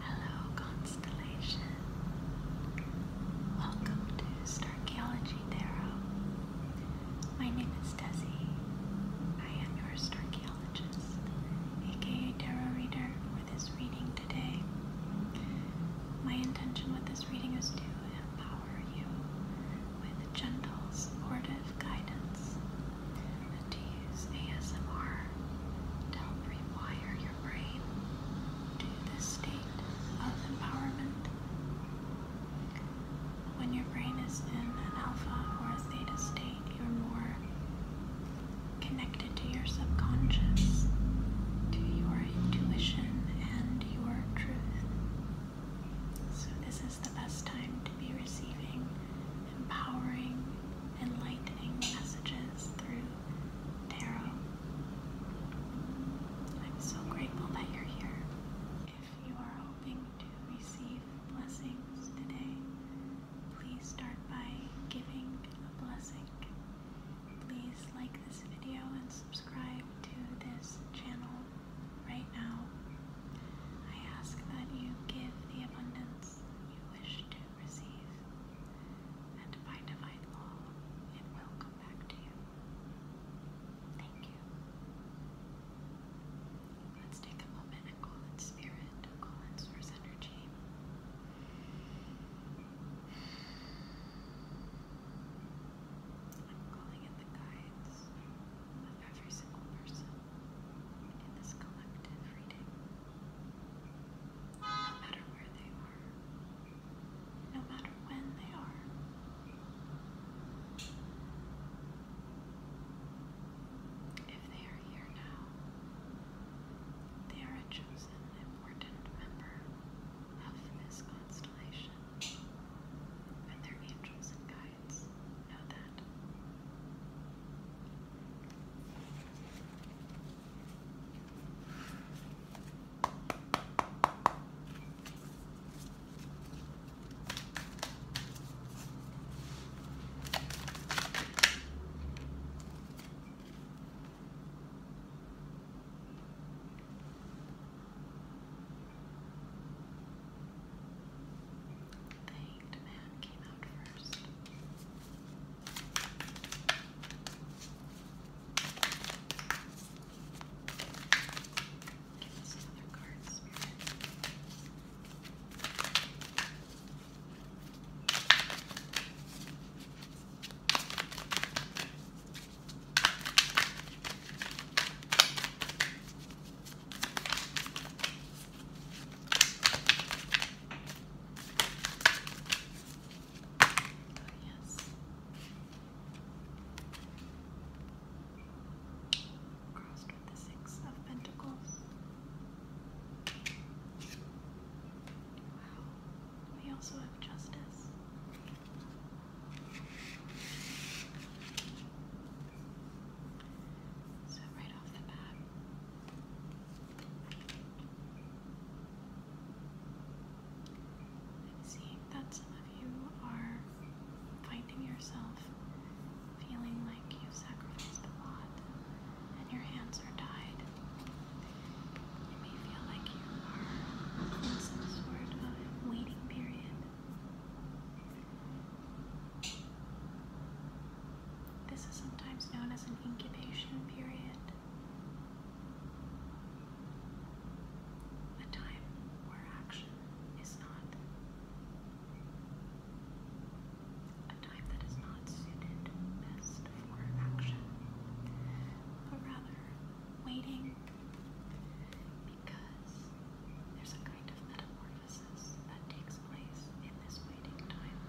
Hello, Constellation. Welcome to Starchaeology Tarot. My name is Desi. I am your Starchaeologist, aka Tarot Reader, for this reading today. My intention with this reading is to empower you with gentle, supportive guidance to use ASMR to help rewire your your brain to this state of empowerment. When your brain is in an alpha or a theta state, you're more connected to your subconscious, to your intuition, and your truth. So, this is the best time to be receiving empowering, enlightening messages through Tarot. I'm so grateful that you're here. If you are hoping to receive blessings today, please start by giving a blessing. Please like this video and subscribe to this channel right now. I ask that you give the abundance you wish to receive, and by divine law, it will come back to you. Thank you. Let's take a moment and call in spirit, call in source energy. i calling in the guides of every single person in this collective reading no matter where they are, no matter when they are. If they are here now, they are a chosen, important member of this constellation, and their angels and guides know that. The hanged man came out first. Give us another card, Spirit yes. Crossed with the Six of Pentacles. Wow. We also have Justice. So, right off the bat, I'm seeing that some of you are finding yourself feeling like you've sacrificed a lot and your hands are tied. You may feel like you are in some sort of waiting period. This is sometimes known as an incubation period. A time where action is not. A time that is not suited best for action, but rather waiting because there's a kind of metamorphosis that takes place in this waiting time.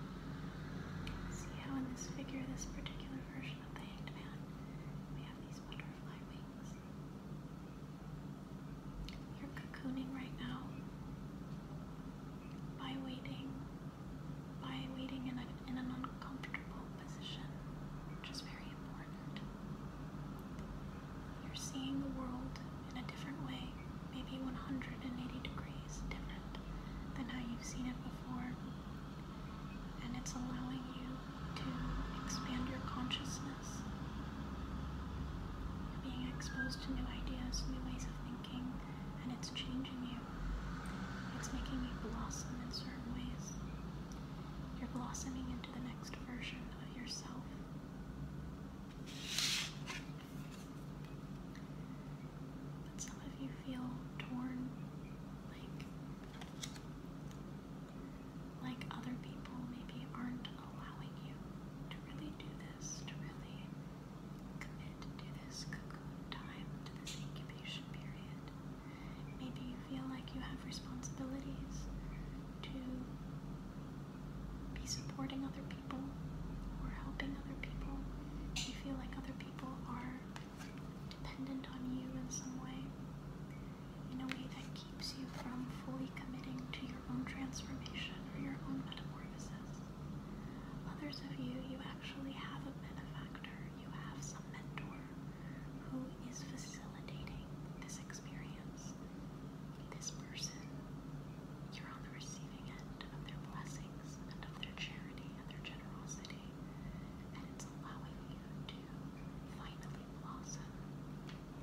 See how in this figure, this particular version of the hanged man, we have these butterfly wings. You're cocooning right now by waiting, by waiting in, a, in an uncomfortable position, which is very important. You're seeing the world in a different way, maybe 180 degrees different than how you've seen it before and it's allowing you to expand your consciousness. You're being exposed to new ideas, new ways of thinking, and it's changing you. It's making you blossom in certain ways. You're blossoming into the next version of yourself. But some of you feel torn, like other people maybe aren't allowing you to really do this, to really commit to this cocoon time, to this incubation period. Maybe you feel like you have responsibilities to be supporting other people or helping other people. You feel like other people are dependent on you in some way, in a way that keeps you from fully committing to your own transformation or your own metamorphosis. Others of you, you actually have a benefactor, you have some mentor who is facilitating this experience. This person, you're on the receipt of their blessings and of their charity and their generosity, and it's allowing you to finally blossom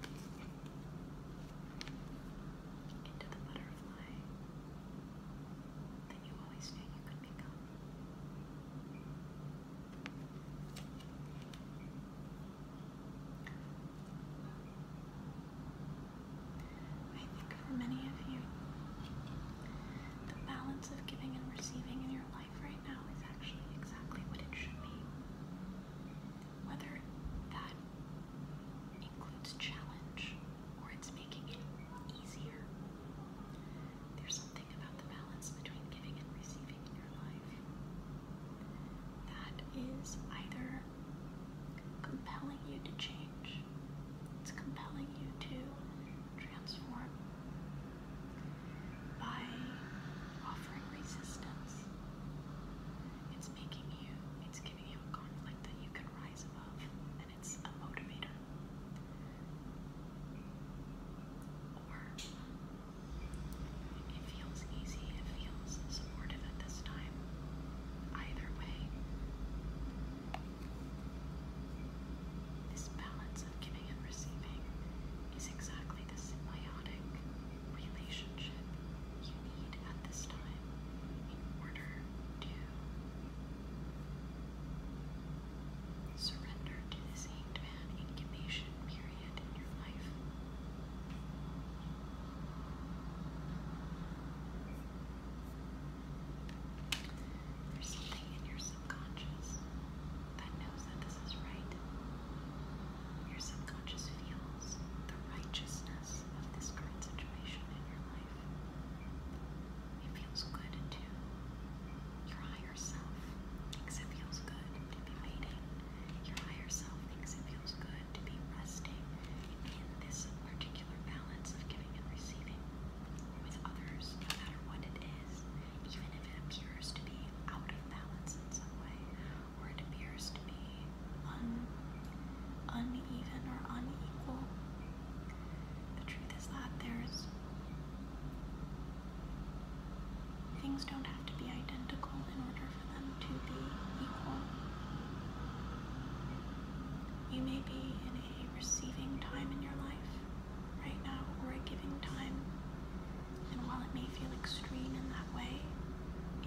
into the butterfly that you always knew you could become. I think for many of you, the balance of giving and receiving in your life right now is actually exactly what it should be. Whether that includes challenge or it's making it easier, there's something about the balance between giving and receiving in your life that is either compelling you to change it's compelling you to transform by offering resistance. It's making you, it's giving you a conflict that you can rise above, and it's a motivator. Or it feels easy, it feels supportive at this time. Either way, this balance of giving and receiving is exactly the symbiotic relationship you need at this time in order to surrender to this hanged incubation period in your life. There's something in your subconscious that knows that this is right. Your subconscious feels the righteousness of this current situation in your life. It feels good to your higher self thinks it feels good to be waiting. Your higher self it feels good to be resting in this particular regular balance of giving and receiving with others, no matter what it is, even if it appears to be out of balance in some way, or it appears to be un uneven or unequal. The truth is that there's things don't have to be identical in order for them to be equal. You may be in receiving time in your life right now or a giving time. And while it may feel extreme in that way,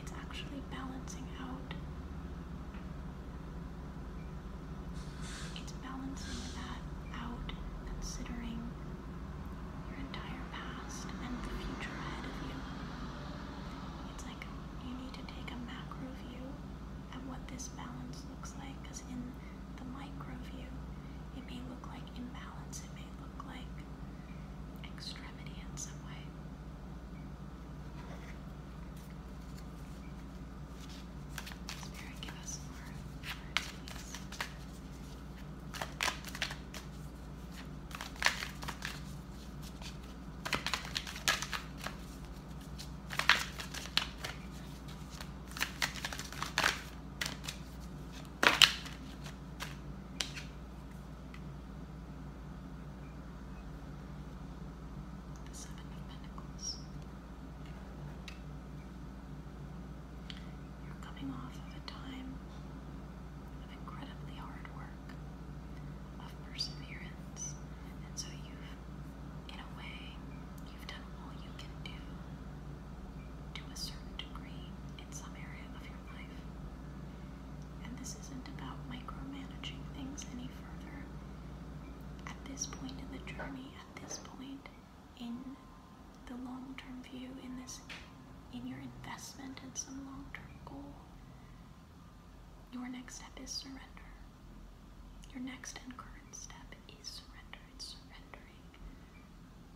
it's actually balancing out. It's balancing that out, considering your entire past and the future ahead of you. It's like you need to take a macro view at what this balance looks like in the micro view, it may look like imbalance, it may look like extremity in some way. Spirit, give us more the Seven of You're coming off of a time of incredibly hard work, of perseverance, and so you in a way, you've done all you can do to a certain degree in some area of your life. And this isn't about micromanaging things any further. At this point in the journey, at this point in the long-term view, in this in your investment in some long-term goal, your next step is surrender. Your next and current step up is surrendering.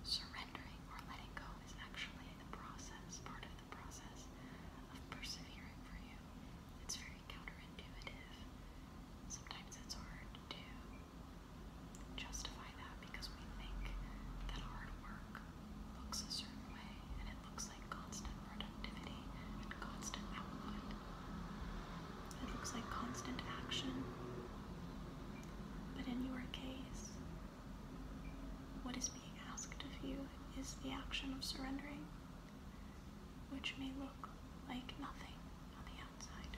Surrendering or letting go is actually the process, part of the process of persevering for you. It's very counterintuitive. Sometimes it's hard to justify that because we think that hard work looks a certain way and it looks like constant productivity and constant output. It looks like constant action. But in your case, what is being asked of you is the action of surrendering, which may look like nothing on the outside.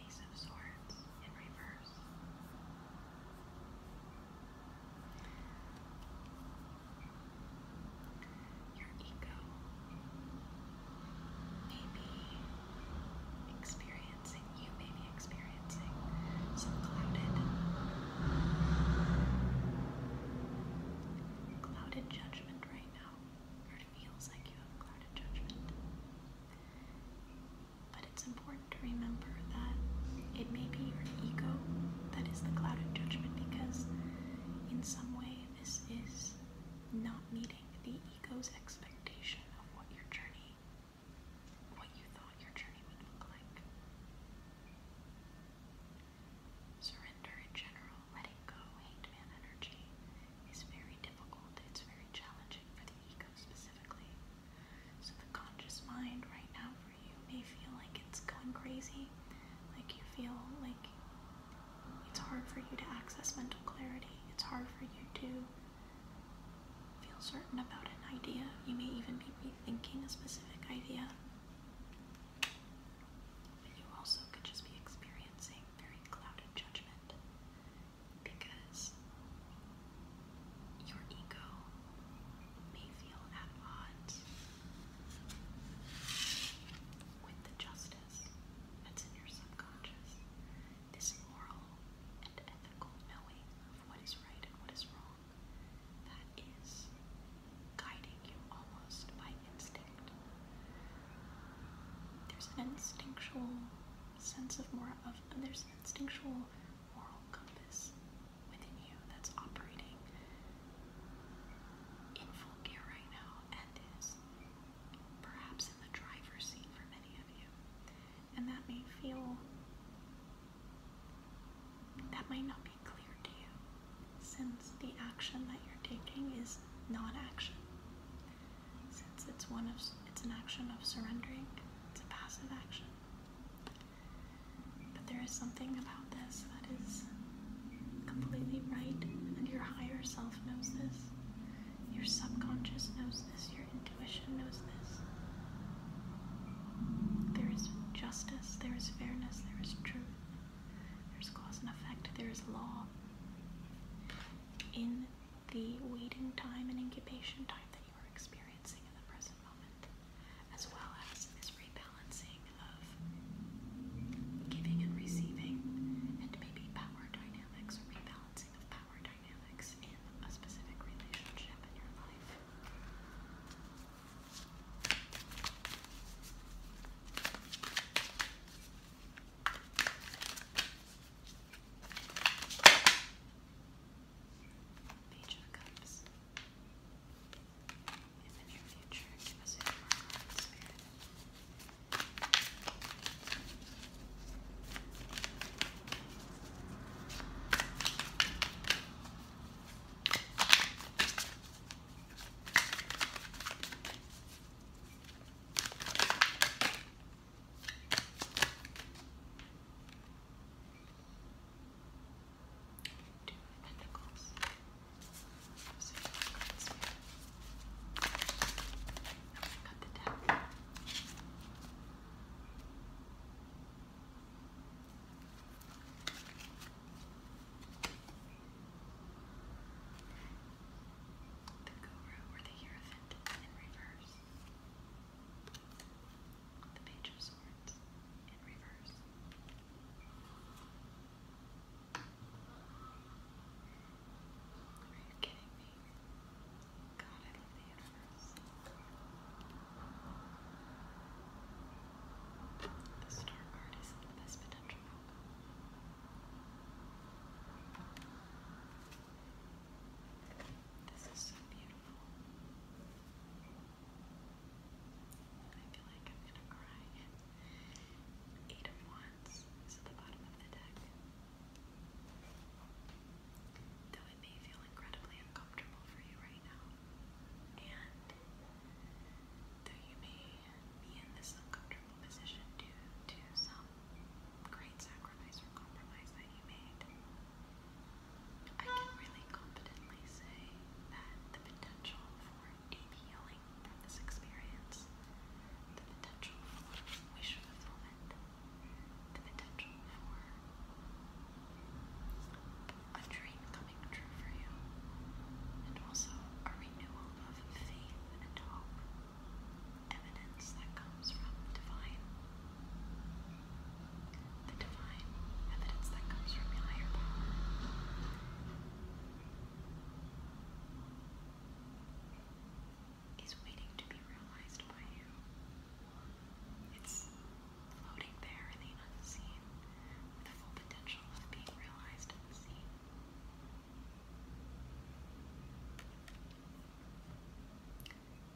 Ace of Swords in reverse. Your ego may experiencing, you may experiencing some clouded, clouded judgment right now, it feels like you have clouded judgment. But it's important to remember that it may be your ego that is the clouded judgment because, in some way, this is not meeting the ego's expectation of what your journey, what you thought your journey would look like. Surrender in general, letting go, hate man energy is very difficult, it's very challenging the specifically. So the conscious mind right now for you may feel like it's going crazy, like you feel like it's hard for you to access mental clarity, it's hard for you to feel certain about an idea. You may even be rethinking a specific idea. But you also could just be experiencing very clouded judgment because your ego may feel at odds with the justice that's in your subconscious. This moral and ethical knowing of what is right and what is wrong that is guiding you almost by instinct. There's an instinctual sense of more of there's an instinctual moral compass within you that's operating in full gear right now and is perhaps in the driver's seat for many of you. And that may feel that might not be clear to you since the action that you're taking is not action since it's one of it's an action of surrendering. It's a passive action. But there is something about this that is completely right, and your higher self knows this. Your subconscious knows this. Your intuition knows this. There is justice, there is fairness, there is truth, there's cause and effect, there is law in the waiting time and incubation time that you are experiencing in the present moment, as well as this rebalancing of giving and receiving, and maybe power dynamics or rebalancing of power dynamics in a specific relationship in your life. Page of Cups. In the near future, give us a more kind spirit. Page Two pentacles. cut the deck. The guru or the hierophant in reverse the Page of Swords in reverse. Are you kidding me? God, I love the universe. The star card is the best potential this is so beautiful. I feel like I'm gonna cry. Eight of Wands is at the bottom of the deck. Though it may feel incredibly uncomfortable for you right now, and though you may be in this uncomfortable position due to some great sacrifice or compromise that you made. I can really confidently say that the potential for healing from this experience, the potential for wish fulfillment, the potential for a dream coming true for you, and also a renewal of faith and hope evidence that comes from divine, the divine evidence that comes from your higher Is waiting to be realized by you. It's floating there in the unseen with the full potential of being realized and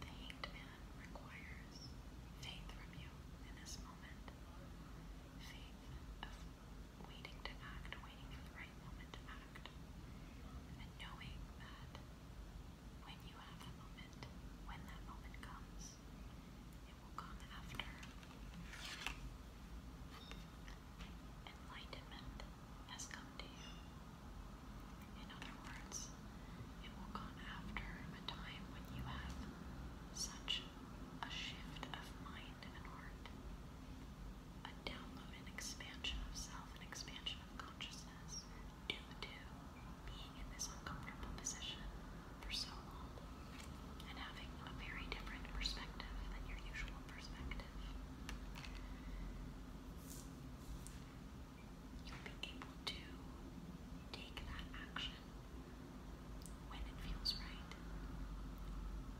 the hanged man requires faith from you in this moment. Faith of waiting to act, waiting for the right moment to act. And knowing that when you have that moment, when that moment comes, it will come after enlightenment has come to you. In other words, it will come after a time when you have such a shift of mind and heart, a download and expansion of self, an expansion of consciousness due to being in this uncomfortable position for so long and having a very different perspective than your usual perspective you'll be able to take that action when it feels right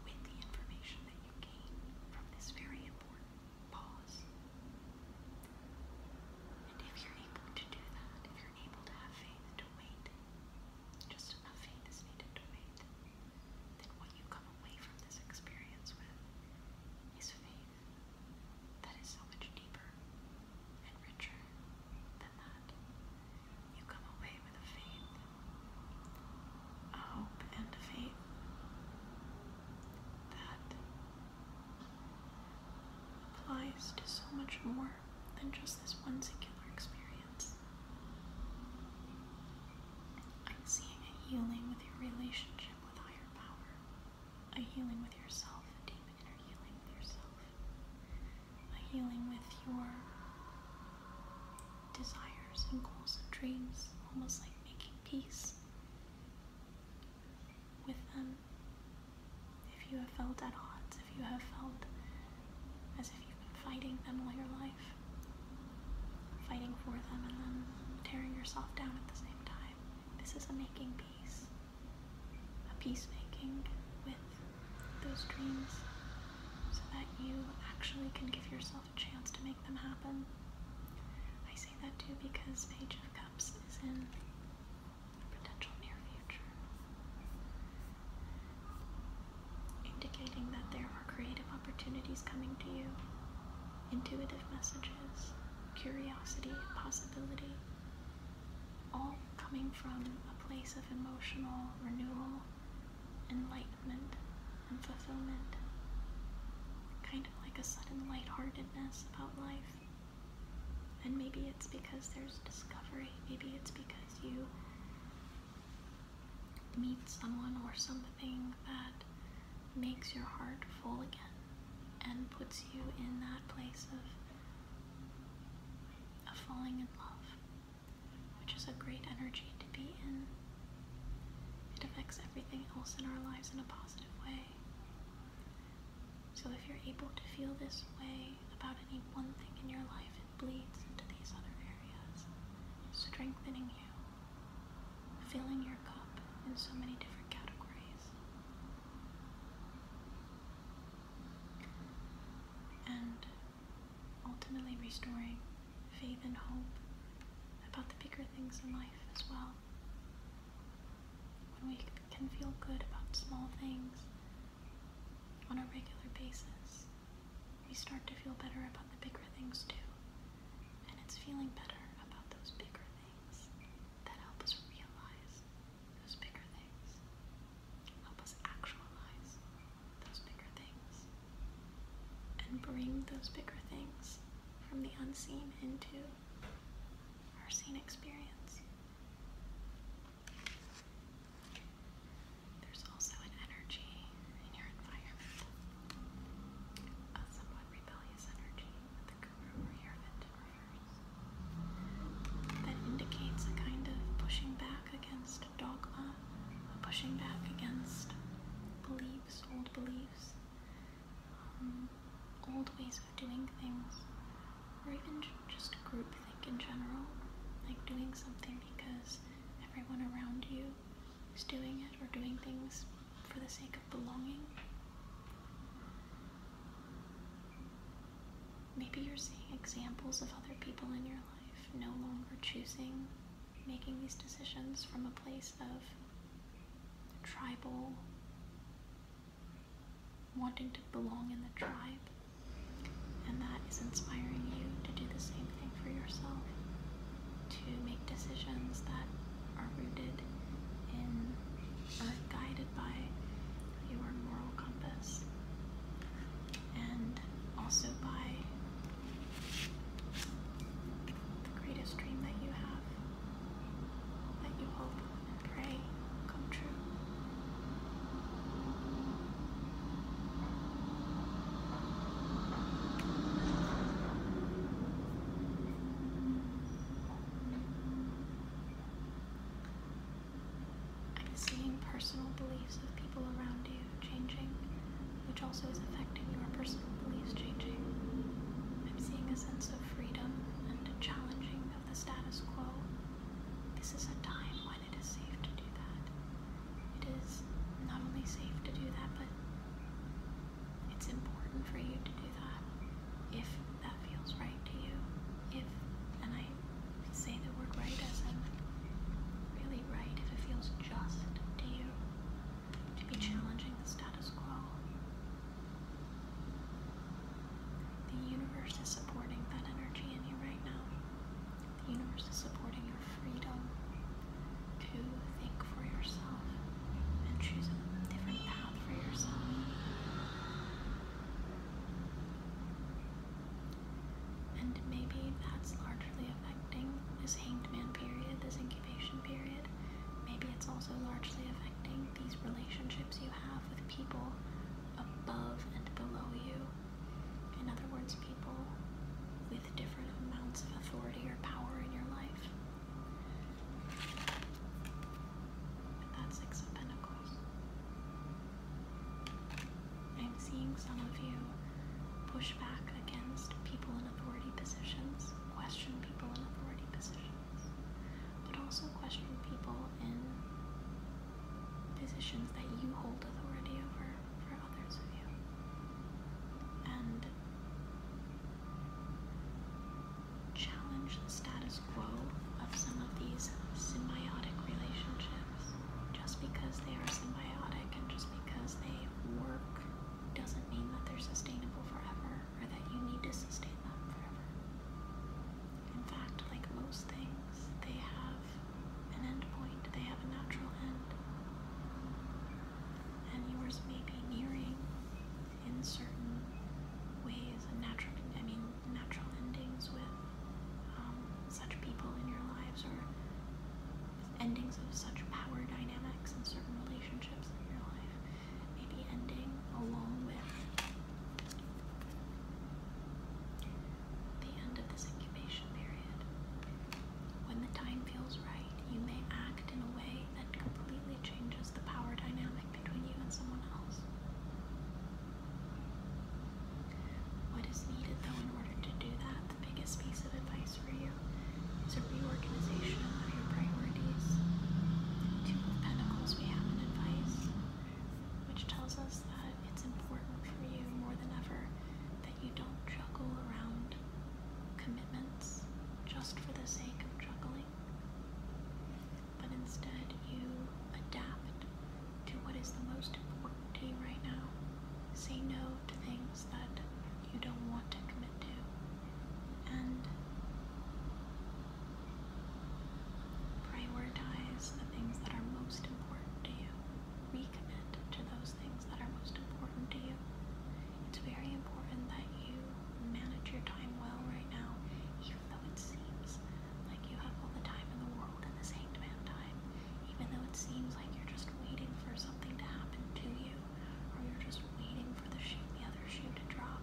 with the information that you gain from this very important pause. And if you're able to do that, if you're able to have faith to wait, just enough faith is needed to wait, then what you come away from this experience with is faith that is so much deeper and richer than that. You come away with a faith, a hope, and a faith that applies to so much more than just this one singular experience. I'm seeing a healing with your relationship with higher power a healing with yourself, a deep inner healing with yourself, a healing with your desires and goals and dreams, almost like making peace with them. If you have felt at odds, if you have felt as if you've been fighting them all your life, fighting for them and then tearing yourself down at the same time, this is a making peace a peacemaking with those dreams so that you actually can give yourself a chance to make them happen. I say that too because Page of Cups is in potential near future, indicating that there are creative opportunities coming to you, intuitive messages, curiosity, possibility, all coming from a place of emotional renewal, enlightenment, and fulfillment. Kind of like a sudden lightheartedness about life. And maybe it's because there's discovery, maybe it's because you meet someone or something that makes your heart full again and puts you in that place of, falling in love, which is a great energy to be in. It affects everything else in our lives in a positive way. So if you're able to feel this way about any one thing in your life, it bleeds into these other areas, strengthening you, filling your cup in so many different categories and ultimately restoring faith and hope about the bigger things in life as well. When we can feel good about small things on a regular basis, we start to feel better about the bigger things too. And it's feeling better about those bigger things that help us realize those bigger things, help us actualize those bigger things, and bring those bigger things from the unseen into our seen experience. There's also an energy in your environment, a uh, somewhat rebellious energy that indicates a kind of pushing back against dogma, a pushing back against beliefs, old beliefs, um, old ways of doing things, or even just group think in general, like doing something because everyone around you is doing it or doing things for the sake of belonging. Maybe you're seeing examples of other people in your life no longer choosing, making these decisions from a place of tribal, wanting to belong in the tribe, and that is inspiring you to do the same thing for yourself, to make decisions that are rooted in uh, guided by your moral compass and also by the greatest dream that you have, that you hope and pray come true. I'm seeing personal beliefs of people around you changing, which also is affecting your personal beliefs changing. I'm seeing a sense of freedom and a challenging of the status quo. This is a time when it is safe to do that. It is not only safe to do that, but it's important for you to do if that feels right to you. If, and I say the word right as I'm really right, if it feels just to you to be challenging the status quo. The universe is supporting that energy in you right now. The universe is supporting your freedom to think for yourself, and choose a different path for yourself. And maybe that's largely affecting this hanged man period, this incubation period. Maybe it's also largely affecting these relationships you have with people above and below you. In other words, people with different amounts of authority or power in your life that's Six of Pentacles. I'm seeing some of you push back against people in authority positions, question people in authority positions, but also question people in positions that you hold authority over for others of you. And challenge the status quo of some of these symbiotic relationships. Just because they are symbiotic and just because they work doesn't mean that they're sustainable forever or that you need to sustain them forever. In fact, like most things, they have an end point, they have a natural end. And yours may be nearing in certain ways and natural, I mean, natural endings with um, such people in your lives or endings of such power dynamics in certain relationships in your life. Maybe ending along with the end of this incubation period. When the time feels right, you may act in a way that completely changes the power dynamic between you and someone else. What is needed, though, in order to do that, the biggest piece of advice for you is a reorganization of your priorities. Two of Pentacles, we have an advice which tells us that it's important for you more than ever that you don't juggle around commitments just for the sake of juggling. But instead, you adapt to what is the most important to you right now. Say no to things that you don't want to commit to. And prioritize the things that are most important to you. Recommit to those things that are most important to you. It's very important that you manage your time well right now, even though it seems like you have all the time in the world in this hanged man time, even though it seems like you're just waiting for something to happen to you, or you're just waiting for the the other shoe to drop.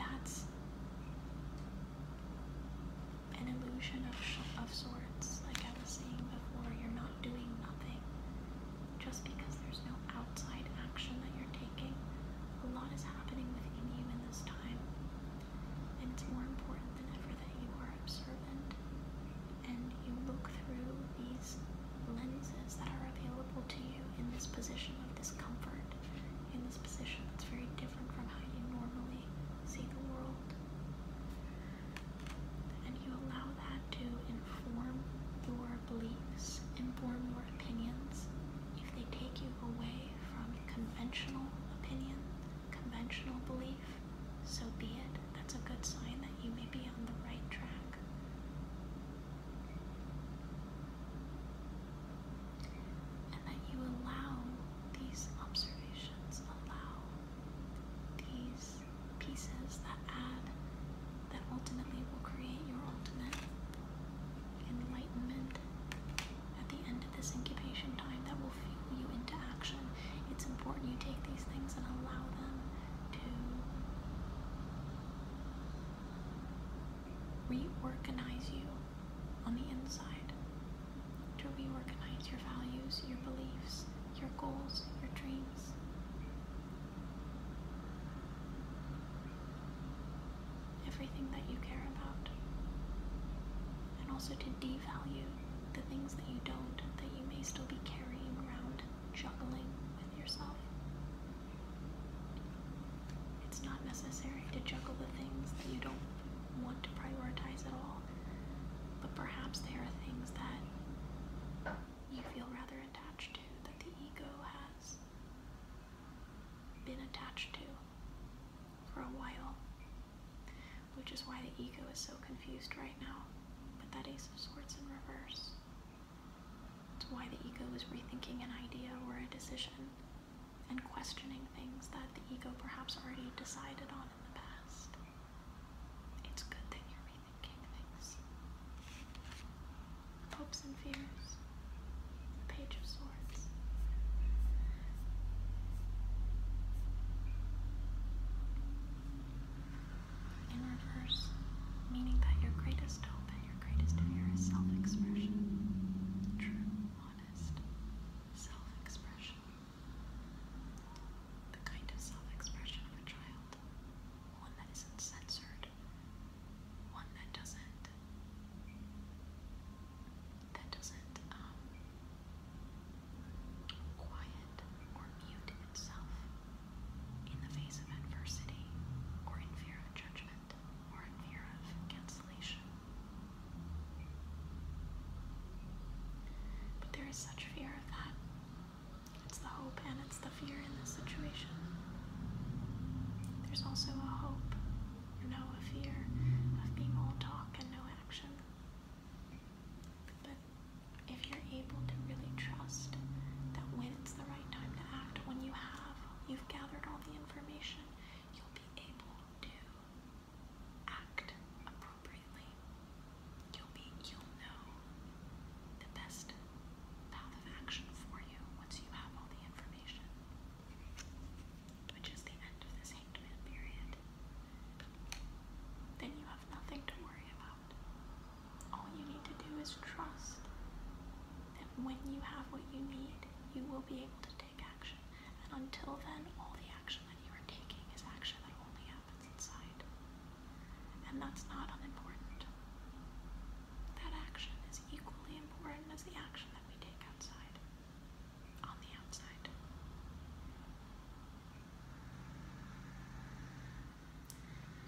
That's an illusion of, of sorts, like I was saying before. You're not doing nothing just because there's no outside action that you're taking. A lot is happening within you in this time, and it's more important than ever that you are observant and you look through these lenses that are available to you in this position of discomfort, in this position that's very different from how you normally see the world. And you allow that to inform your beliefs and form more opinions if they take you away from conventional opinion, conventional belief, so be it. That's a good sign that you may be on the right track. And that you allow these observations, allow these pieces that add, that ultimately will create your ultimate enlightenment at the end of this incubation time that will fuel you into action. It's important you take these things and allow them to reorganize you on the inside, to reorganize your values, your beliefs, your goals, your dreams everything that you care about, and also to devalue the things that you don't, that you may still be carrying around, juggling with yourself. It's not necessary to juggle the things that you don't want to prioritize at all, but perhaps there are things that you feel rather attached to that the ego has been attached to for a while, which is why the ego is so confused right now. With that Ace of Swords in reverse. It's why the ego is rethinking an idea or a decision and questioning things that the ego perhaps already decided on in the past. It's good that you're rethinking things hopes and fears, the Page of Swords. In reverse, meaning that your greatest hope and your greatest fear is self expression. True, honest self expression. The kind of self expression of a child, one that isn't censored, one that doesn't that doesn't um quiet or mute itself in the face of adversity or in fear of judgment or in fear of cancellation. But there is such fear of that. It's the hope and it's the fear in this situation. There's also a hope no fear of being all talk and no action. But if you're able to really trust that when it's the right time to act, when you have, you've gathered all the information, you'll be able to act appropriately. You'll be, you'll know the best path of action for you once you have all the information which is the end of this hanged period, then you have nothing to worry about. All you need to do is trust that when you have what you need, you will be able to take action. And until then, all the action that you are taking is action that only happens inside. And that's not unimportant that action is equally important as the action that we take outside, on the outside.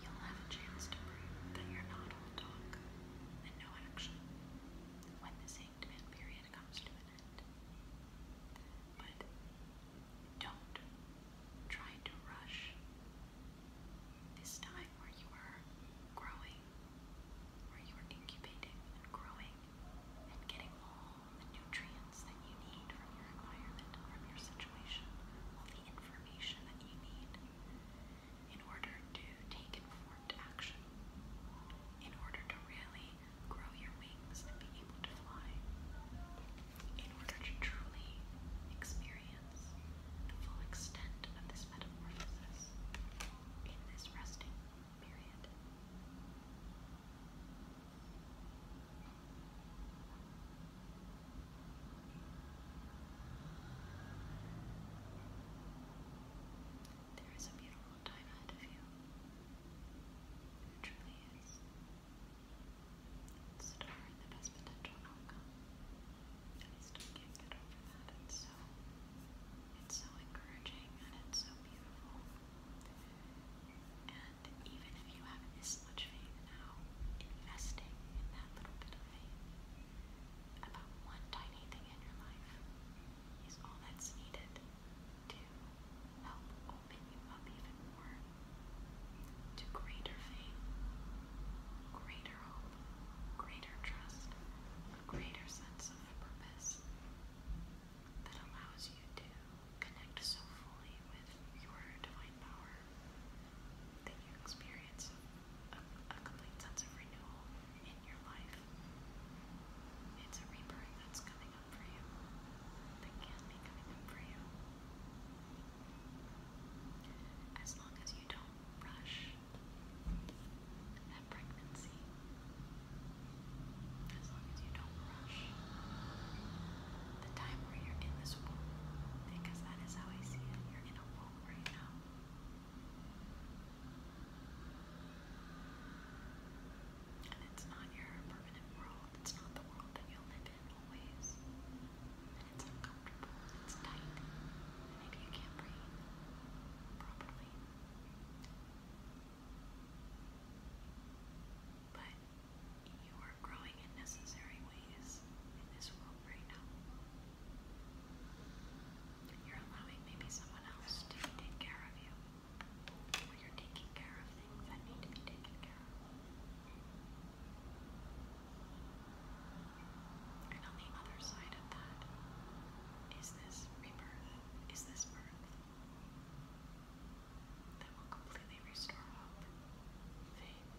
You'll have a chance to prove that you're not all talk and no action when this eight-man period comes to an end. But don't try to rush. This time time where you were growing, where you were incubating and growing and getting all the nutrients that you need from your environment, from your situation, all the information that you need in order to take informed action, in order to really grow your wings and be able to fly, in order to truly experience the full extent of this metamorphosis in this resting period. There is a beautiful time ahead of you. It truly is. Star in the best potential outcome. I still can't get over that. It's so it's so encouraging and it's so beautiful. And even if you have this much faith now, investing in that little bit of faith about one tiny thing in your life is all that's needed to help open you up even more to greater faith, greater hope, greater trust, greater sense of purpose that allows you to connect so fully with your divine power that you experience a, complete sense of renewal in your life. It's a rebirth that's coming up for you, that can be coming up for you. As long as you you don't rush at pregnancy. As long as you don't rush the time where you're in this womb, because that is how I see it. You're in a womb right now. And it's not your permanent world, it's not the world that you'll live in always. And it's uncomfortable, it's tight, maybe you can't breathe properly. But you are growing in necessary ways in this world right now. You're allowing maybe someone else to take care of you. Or you're taking care of things that need to be taken care of. And on the other side of that is this rebirth, is this birth that will completely restore hope, faith,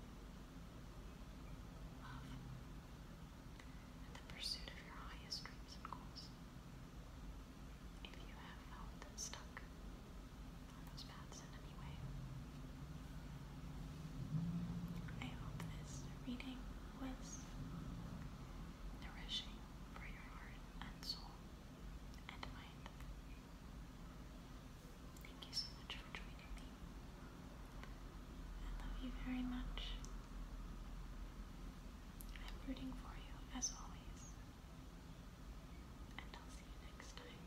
love, and the pursuit of your highest dreams and goals. If you have felt stuck on those paths in any way, I hope this reading was nourishing for your heart and soul and mind. Thank you so much for joining me. I love you very much. I'm rooting for you as always. And I'll see you next time.